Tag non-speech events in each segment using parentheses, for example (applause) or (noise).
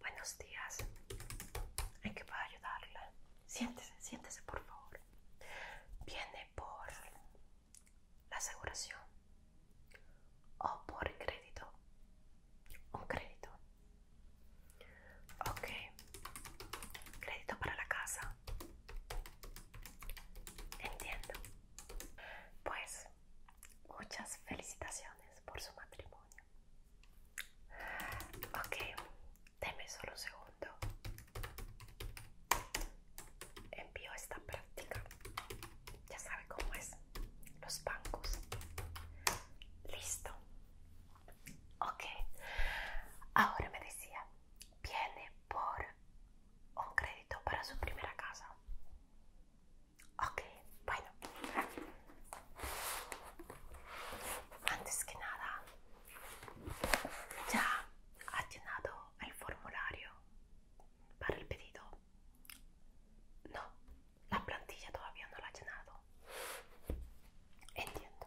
Buenos días. ¿En qué puedo ayudarla? Siéntese, siéntese por favor. ¿Viene por la aseguración o por crédito? Un crédito. Ok. Crédito para la casa. Entiendo. Pues muchas felicitaciones por su matrimonio. Ok, dame solo un segundo. Envío esta práctica. Ya sabe cómo es. Los bancos. Listo. Ok. Ahora me decía, viene por un crédito para su primera casa. Ok, bueno. Antes que nada, ya ha llenado el formulario para el pedido. No, la plantilla todavía no la ha llenado. Entiendo.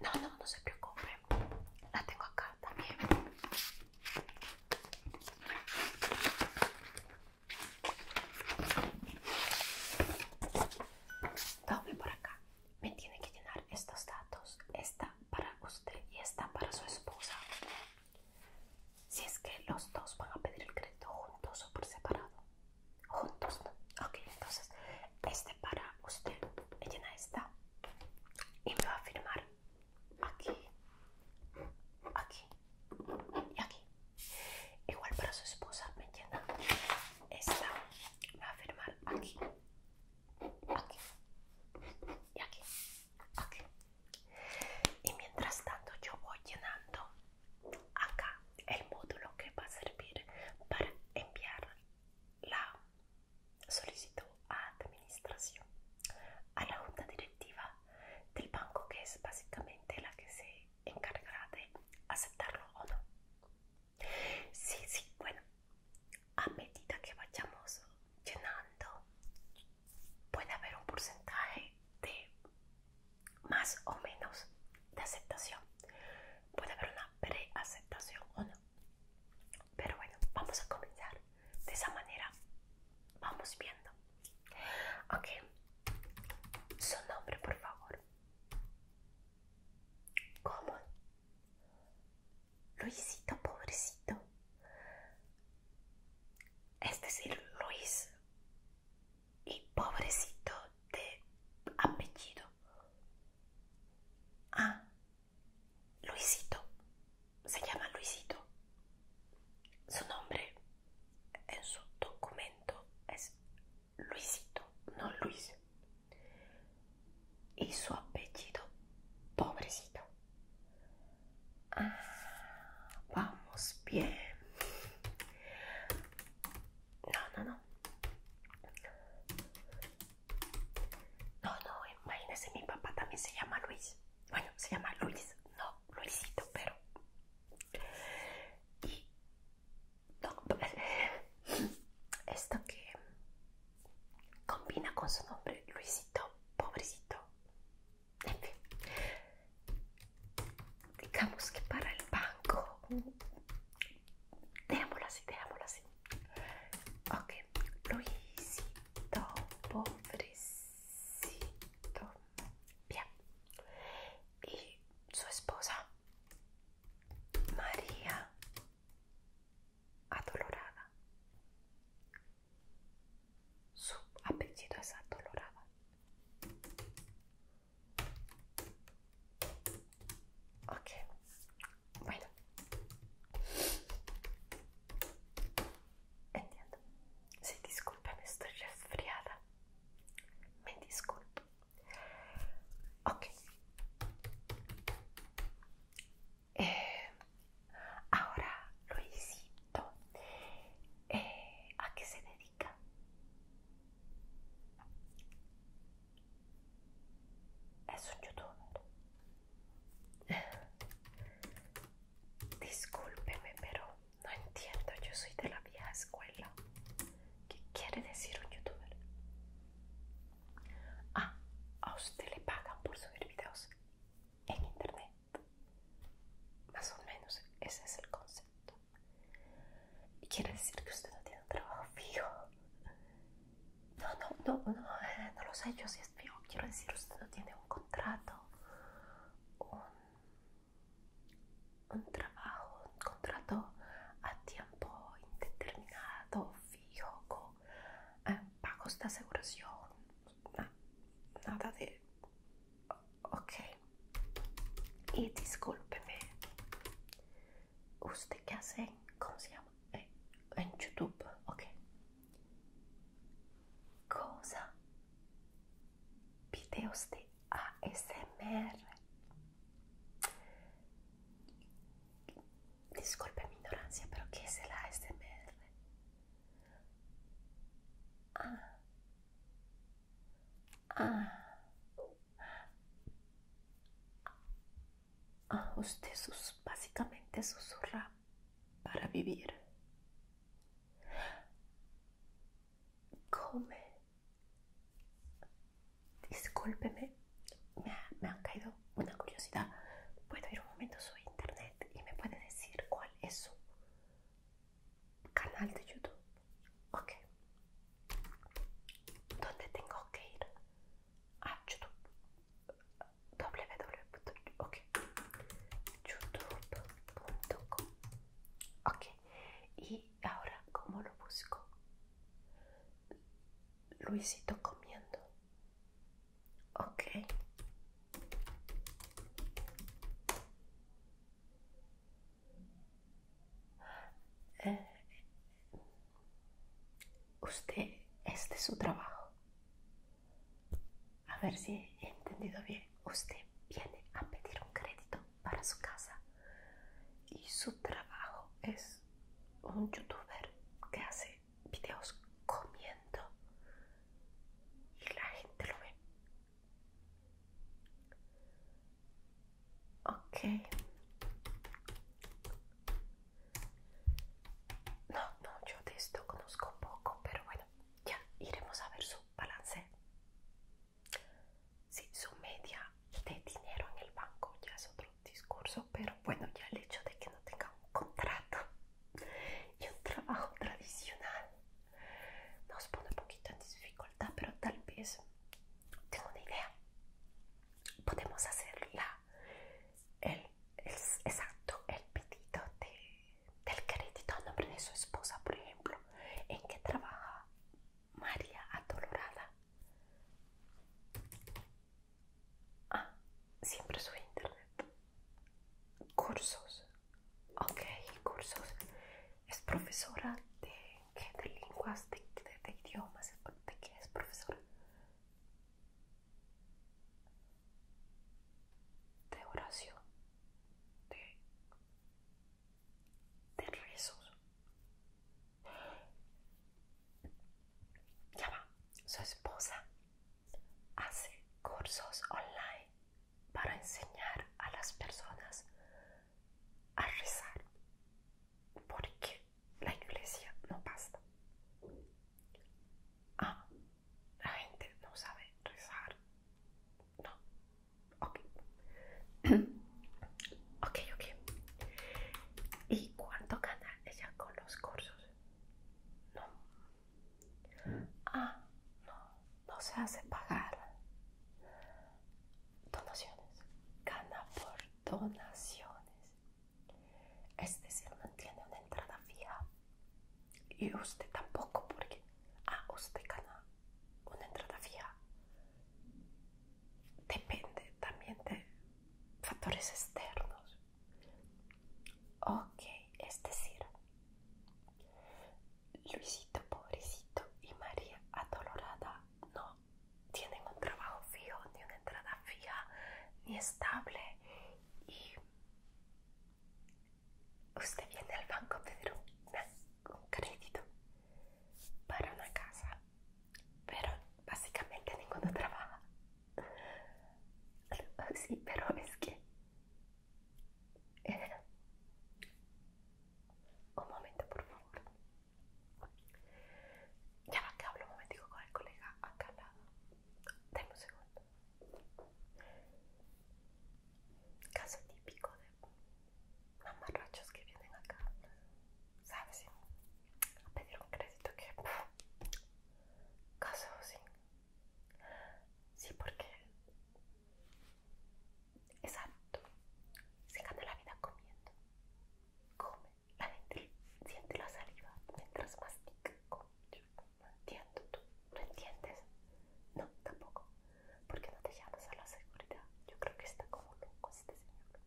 No, no, no se preocupe La tengo acá también. Tome por acá. Me tiene que llenar estos datos. Esta para usted y esta para su esposa. Si es que los dos van a pedir el crédito juntos o por separado. Juntos, ¿no? Ok, entonces este para usted. Llena esta y me va a firmar aquí, aquí y aquí. Igual para su esposa, ¿me llena Esta me va a firmar aquí, aquí y aquí, aquí. Y mientras tanto yo voy llenando acá el módulo que va a servir para enviar la Solicito a administración, a la junta directiva del banco, que es básicamente la que se encargará de aceptarlo o no. Sí, sí, bueno, a medida que vayamos llenando, puede haber un porcentaje de más o menos de aceptación. Puede haber una pre preaceptación o no. Pero bueno, vamos a comenzar. De esa manera vamos viendo. Ok, su nombre, por favor. ¿Cómo? Luisito, pobrecito. este Es el Luis y pobrecito de apellido. Ah, Luisito. Se llama Luisito. Su nombre en su documento es Luisito, no Luis. Y su apellido, pobrecito. Ah, vamos bien. No, no, no. No, no, imagínese, mi papá también se llama Luis. Bueno, se llama Luis, no Luisito, pero. Y. No, (laughs) esto que combina con su nombre, Luisito, pobrecito. En fin. Digamos que para el banco. Dejámoslo así, dejámoslo así. Ok, Luisito, pobrecito. Bien. Y su esposa, María, adolorada. Su apellido es adolorada. Ok, bueno. Entiendo. disculpa me estoy resfriada. Me disculpo. Ok. Eh, ahora, Luisito, eh, ¿a qué se dedica? Es un youtuber. Discúlpeme, pero no entiendo. Yo soy de la vieja escuela. ¿Qué quiere decir un youtuber? Ah, a usted le pagan por subir videos en internet. Más o menos ese es el concepto. Y quiere decir que usted no tiene trabajo fijo. No, no, no, no, eh, no lo sé yo si es Quiero decir, usted no tiene un contrato, un, trabajo, un contrato a tiempo indeterminado, fijo, con eh, pagos de aseguración, nada de... Ok. Y discúlpeme, ¿usted qué hace? ¿Cómo se llama? Eh, en YouTube, ok. Cosa? Videos di ASMR? Discolpa minoranza, però che se la ASMR? Ah. Ah. Ah, usted sus, básicamente susurra para vivir. Come. Discúlpeme, me, ha, caído una curiosidad. ¿Puedo ir un momento a su internet y me puede decir cuál es su canal de YouTube? Ok. ¿Dónde tengo que ir? A ah, YouTube okay. ok y ahora cómo lo busco Luisito comiendo ok eh, usted este es su trabajo. A ver si he entendido bien. Usted viene a pedir un crédito para su casa y su trabajo es un youtuber que hace videos comiendo y la gente lo ve. Ok. No, no, yo de esto conozco poco, pero bueno, ya iremos a ver su balance. Sí, su media de dinero en el banco ya es otro discurso, pero bueno, ya el hecho de que no tenga un contrato y un trabajo tradicional nos pone un poquito en dificultad, pero tal vez tengo una idea. Podemos hacerla el, exacto, el pedido del crédito a nombre de su esposa, por ejemplo. ¿En qué trabaja María Adolorada? Ah, siempre su internet. Cursos. Ok, cursos. Es profesora de, de lenguas, de idiomas, de qué es profesora de oración, de, de rezos. Ya su esposa hace cursos online para enseñar a las personas a rezar porque la iglesia no basta Ah, la gente no sabe rezar. No. Ok. (clears throat) ok, ok. ¿Y cuánto gana ella con los cursos? No. Ah, no. No se hace pagar donaciones. Gana por donaciones. Es decir, no tiene una entrada fija. Y usted tampoco, porque ah, usted gana una entrada fija. Depende también de factores externos. Ok, es decir, Luisito pobrecito y María adolorada no tienen un trabajo fijo, ni una entrada fija, ni estable y usted viene al banco a pedir un, crédito para una casa, pero básicamente ninguno trabaja. (laughs) Sí, pero es que... Eh, un momento, por favor. Ya va que hablo un momentico con el colega acá al lado tenemos un segundo. Caso típico de mamarrachos que vienen acá, ¿sabes? A pedir un crédito que. Caso sí. Sí, porque. Exacto. Se gana la vida comiendo. Come, la gente siente la saliva mientras mastica comida. No entiendo, ¿tú no entiendes? No, tampoco. ¿Por qué no te llamas a la seguridad? Yo creo que está como loco este señor.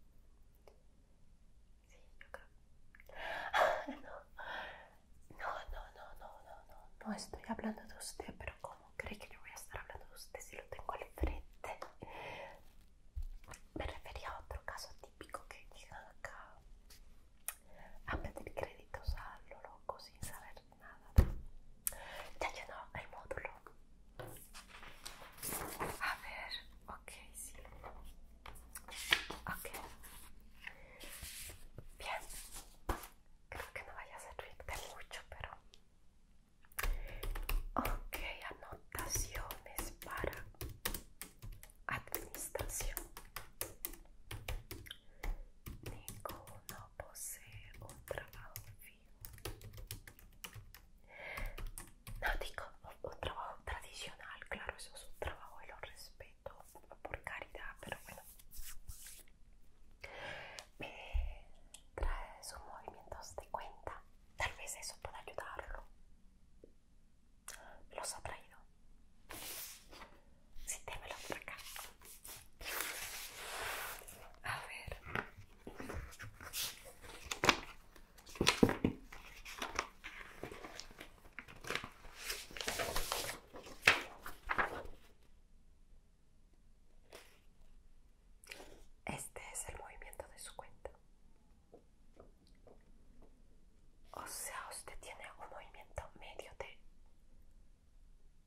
Sí, yo creo. (laughs) no, no, no, no, no, no, no, estoy hablando de usted, pero ¿cómo cree que yo voy a estar hablando de usted si lo tengo al frente? Me refería a otro caso típico que llega acá a pedir créditos a lo loco sin saber nada. Ya llenó el módulo. A ver, ok, sí. Ok. Bien. Creo que no vaya a servirte mucho, pero... Ok, anotaciones para administración. no posee un trabajo No digo un, trabajo tradicional, claro, eso es un trabajo y lo respeto por caridad, pero bueno. Me trae sus movimientos de cuenta. Tal vez eso pueda ayudarlo los ha traído. Si sí, por acá. A ver. Este es el movimiento de su cuenta. O sea, usted tiene un movimiento medio de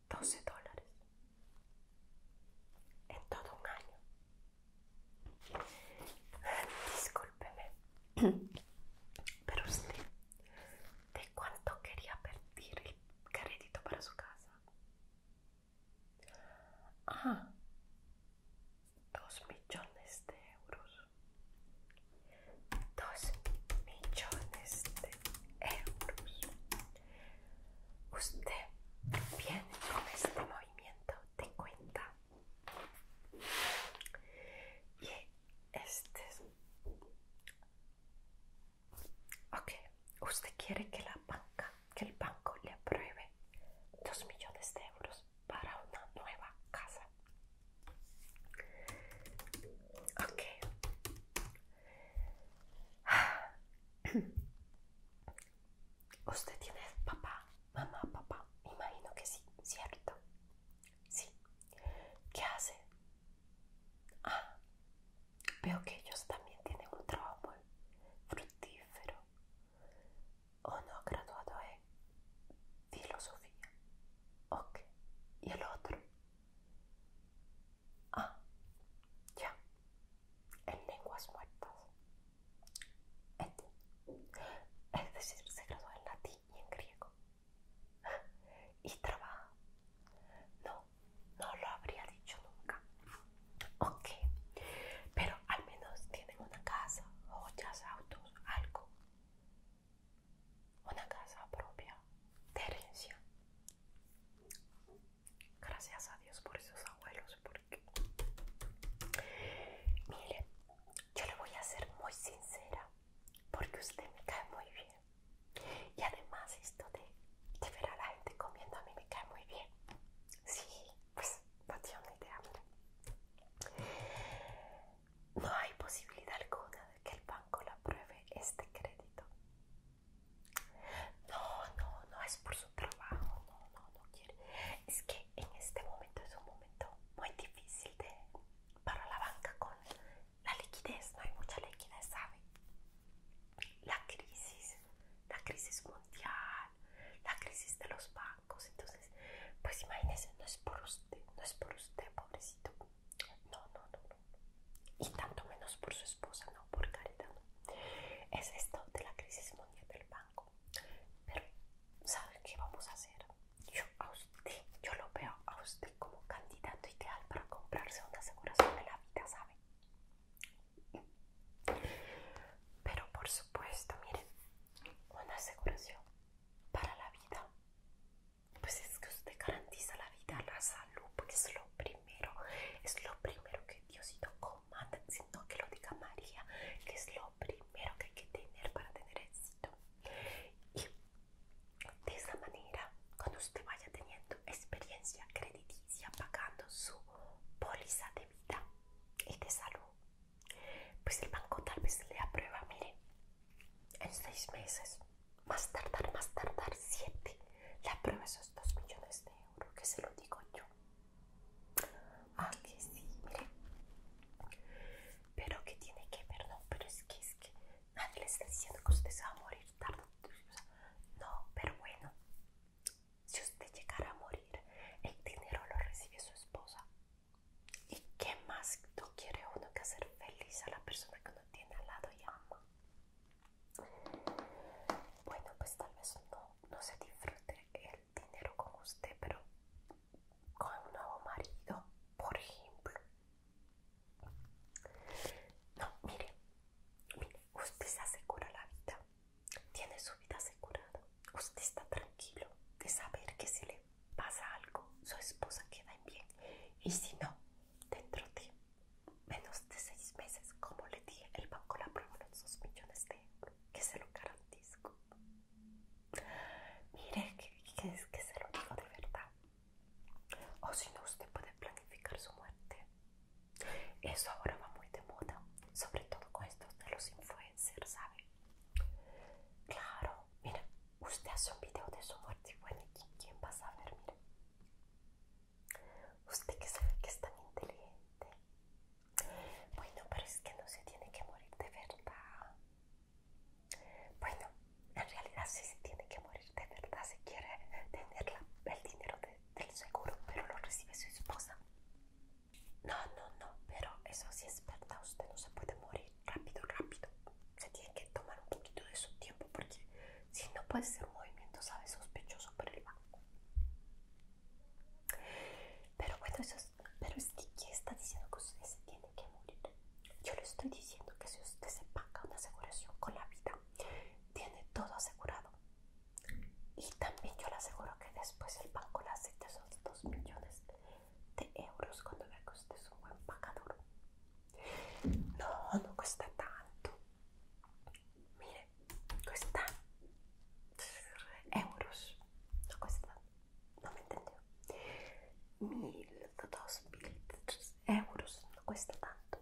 12 dólares en todo un año. Discúlpeme, (clears throat) pero usted, ¿de cuánto quería pedir el crédito para su casa? Ah, dos millones de euros. 2 millones de euros. Usted viene con este movimiento de cuenta y este ok usted quiere que la banca que el banco le apruebe 2 millones de euros para una nueva casa. Ah. (clears throat) Usted tiene papá, mamá, papá. Imagino que sí, ¿cierto? Sí. ¿Qué hace? Ah, veo que ellos también tienen un trabajo fructífero. ¿O no graduado, eh? filosofía. Ok, ¿y el otro? Ah, ya, en lenguas muertas. Este. Es decir, se graduó en latín y en griego. Y trabaja. No, no lo habría dicho nunca. Ok, pero al menos tienen una casa, joyas, autos, algo una casa propia de herencia. Gracias a Dios por esos abuelos, porque mire, yo le voy a ser muy sincera, porque usted me cae muy bien. Y además esto de, ver a la gente comiendo a mí me cae muy bien. Sí, pues no una idea, no hay posibilidad alguna de que el banco le apruebe este crédito. No, no, no es por su trabajo, no, no, no quiere. Es que en este momento es un momento muy difícil de, para la banca con la liquidez, no hay mucha liquidez, ¿sabe? La crisis, la crisis mundial, la crisis de los bancos, entonces pues imagínense, no es por usted, no es por usted, pobrecito. No, no, no, no. Y tanto menos por su esposa, no, por caridad. Es esto de la crisis mundial del banco. Pero, ¿saben qué vamos a hacer? Yo a usted, yo lo veo a usted como candidato ideal para comprarse una aseguración de la vida, ¿sabe? Pero por supuesto, miren, una aseguración para la vida pues es que usted garantiza la vida, la salud, porque es lo primero, es lo primero que Diosito comanda, sino que lo diga María, que es lo primero que hay que tener para tener éxito. Y de esa manera, cuando usted vaya teniendo experiencia crediticia, pagando su póliza de vida y de salud, pues el banco tal vez le aprueba, mire, en seis meses, más tardar, más tardar siete, le aprueba esos dos millones de euros, que se lo digo yo. Ah, que sí, mire. Pero que tiene que ver, no, pero es que es que nadie le está diciendo que usted se va a morir tarde. No, pero bueno, si usted llegara a morir, el dinero lo recibe su esposa. ¿Y qué más no quiere uno que hacer feliz a la persona que uno tiene al lado y ama? Bueno, pues tal vez no, se disfrute el dinero con usted, pero con un nuevo marido, por ejemplo. No, mire, mire, usted se asegura la vida, tiene su vida asegurada, usted está tranquilo de saber que se le pasa algo, su esposa queda en bien. Y si no, dentro de menos de seis meses, como le di el banco la prueba los dos millones de euros, que se lo garantizo. Mire, que, es que se lo digo de verdad. O si no, usted puede planificar su muerte. Eso ahora va muy de moda, sobre todo con estos de los influencers, ¿sabe? Claro, mira, Usted hace un video de su muerte. ¿y quién, quién va a saber? Mire. Usted que sabe que es tan inteligente. Bueno, pero es que no se tiene que morir de verdad. Bueno, en realidad sí se tiene que morir de verdad. Se quiere tener el dinero del seguro, pero lo recibe su esposa. No, no, no, pero eso sí es verdad. Usted no se puede morir rápido, rápido. Se tiene que tomar un poquito de su tiempo porque si no puede ser un movimiento, sabe Sospechoso por el banco. Pero bueno, eso pero es que ¿quién está diciendo que usted se tiene que morir? Yo le estoy diciendo que si usted se paga una aseguración con la vida, tiene todo asegurado. Y también yo le aseguro que después el banco le acepta esos 2 millones te euros quando me costa un No, no cuesta tanto mire cuesta... euros no me non Mil, dos, 1000 euros no cuesta tanto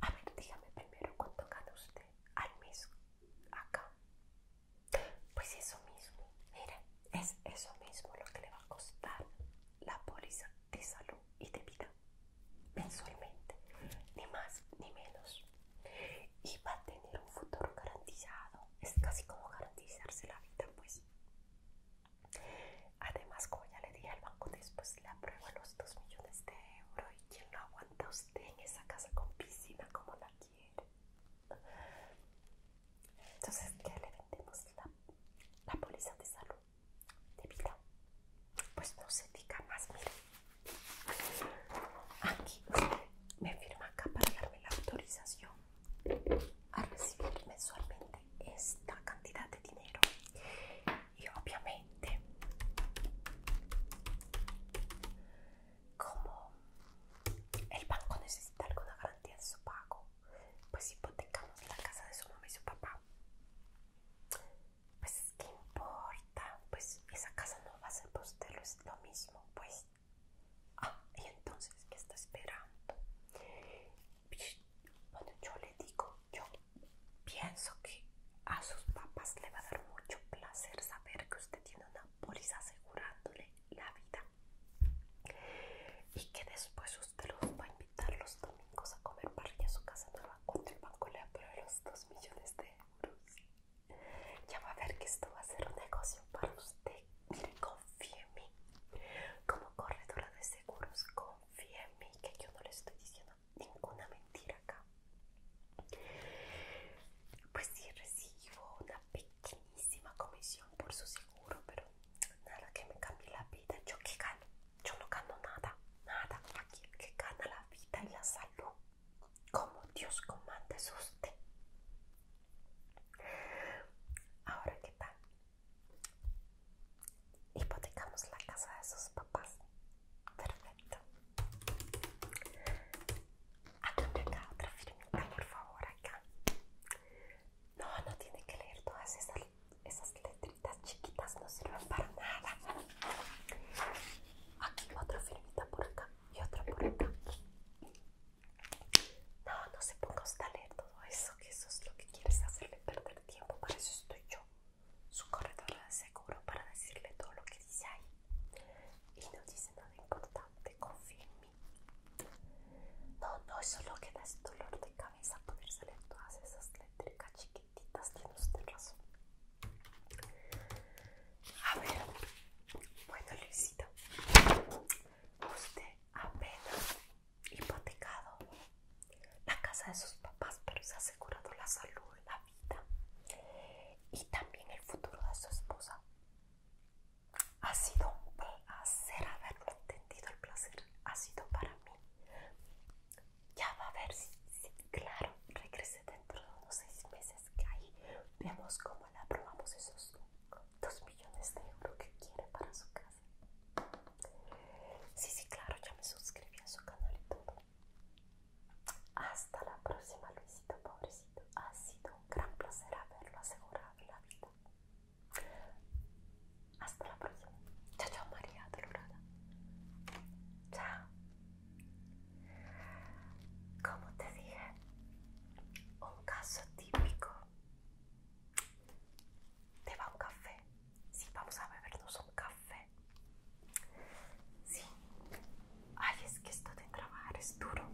a ver dígame primero cuánto gana usted al mes acá pues eso mismo, mira, es eso mismo lo que le va a costar la póliza de salud y de vida mensualmente, ni más ni menos. Y va a tener un futuro garantizado, es casi como garantizarse la vida, pues. Además, como ya le dije al banco, después le aprueban los 2 millones de euros y quien lo aguanta usted en esa casa con piscina como la entonces, ¿qué le vendemos? La, la póliza de salud, de vida. Pues no se diga más, mire. Aquí me firma acá para darme la autorización a recibir mensualmente esta cantidad de dinero. Y obviamente, como el banco necesita alguna garantía, tiene su pago, pues hipotecamos la casa de su mamá y su papá. Pues, ¿qué importa? Pues esa casa no va a ser para es lo mismo, pues. Ah, y entonces, ¿qué está esperando? Bueno, yo le digo, yo pienso que a sus papás le va a dar mucho placer saber que usted tiene una póliza asegurándole la vida y que después usted los va a invitar los domingos a comer parrilla a su casa nueva cuando el banco le apruebe los 2 millones de euros ya va a ver que esto va a ser un negocio para usted confíe en mí como corredora de seguros confíe en mí que yo no le estoy diciendo ninguna mentira acá pues si recibo una pequeña pequeñísima comisión por su seguro, pero nada que me cambie la vida. Yo que gano, yo no gano nada, nada. Aquí que gana la vida y la salud, como Dios comanda es usted. Ahora, ¿qué tal? Hipotecamos la casa de sus papás. Perfecto. Aquí acá, otra firmita, por favor, acá. No, no tiene que leer todas esas, esas letritas chiquitas, no sirven para nada. Aquí, otra firmita por acá y otra por acá. No, no se ponga a leer todo eso, que eso es lo que quieres hacerle perder tiempo. Para eso estoy yo, su corredor de seguro, para decirle todo lo que dice ahí. Y no dice nada importante, confíen no, No, es solo que da dolor de cabeza poder salir todas esas eléctricas chiquititas, tiene usted razón. A ver, bueno Luisito, usted apenas hipotecado la casa de sus papás, pero se ha asegurado la salud, la vida y también el futuro de su esposa. Ha sido un placer haberlo entendido, el placer ha sido para mí. Ya va a ver si, sí, claro, regrese dentro de unos seis meses que ahí vemos cómo le aprobamos esos dos millones de euros que quiere para su casa. Sí, sí, claro, ya me suscribí a su canal y todo. Hasta la próxima, Luisito, pobrecito. Ha sido un gran placer haberlo asegurado en la vida. Hasta la próxima. Chao, chao, María Dolorada. Chao. Como te dije, un caso típico. Te va un café. Sí, vamos a bebernos un café. Sí. Ay, es que esto de trabajar es duro.